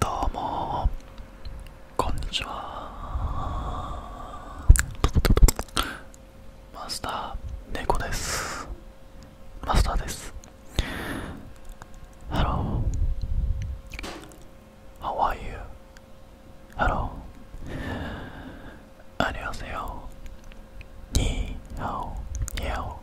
どうもこんにちはマスター猫ですマスターですハロー How are you? ハローアニュアにヨニーハオニャオ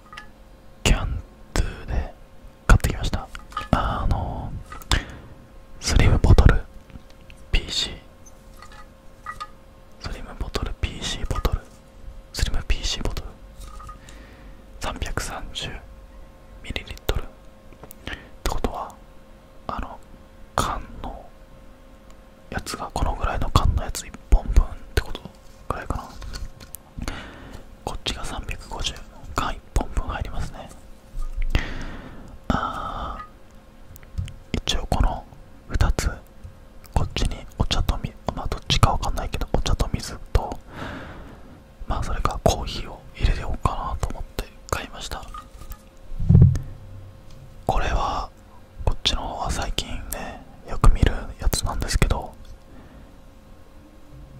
キャンドゥで買ってきましたあのスリムボトル PC スリムボトル PC ボトルスリム PC ボトル 330ml ってことはあの缶のやつがこのぐらいの缶のやつ1本分ってことぐらいかなこっちが350缶1本分入りますねあ一応この2つこっちにお茶と水まあどっちかわかんないけどお茶と水とまあそれかコーヒーを入れようかなと思って買いましたこれはこっちの方は最近ねよく見るやつなんですけど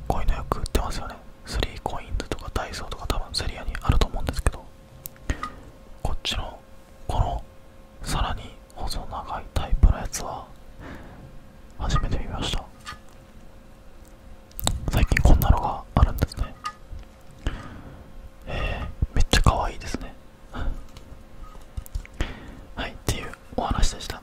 こういうのよく売ってますよね3 coins とかダイソーとか多分セリアにあると思うんですけどこっちのこのさらに細長いタイプのやつは初めて見ました最近こんなのがあるんですねえめっちゃ可愛いですねはいっていうお話でした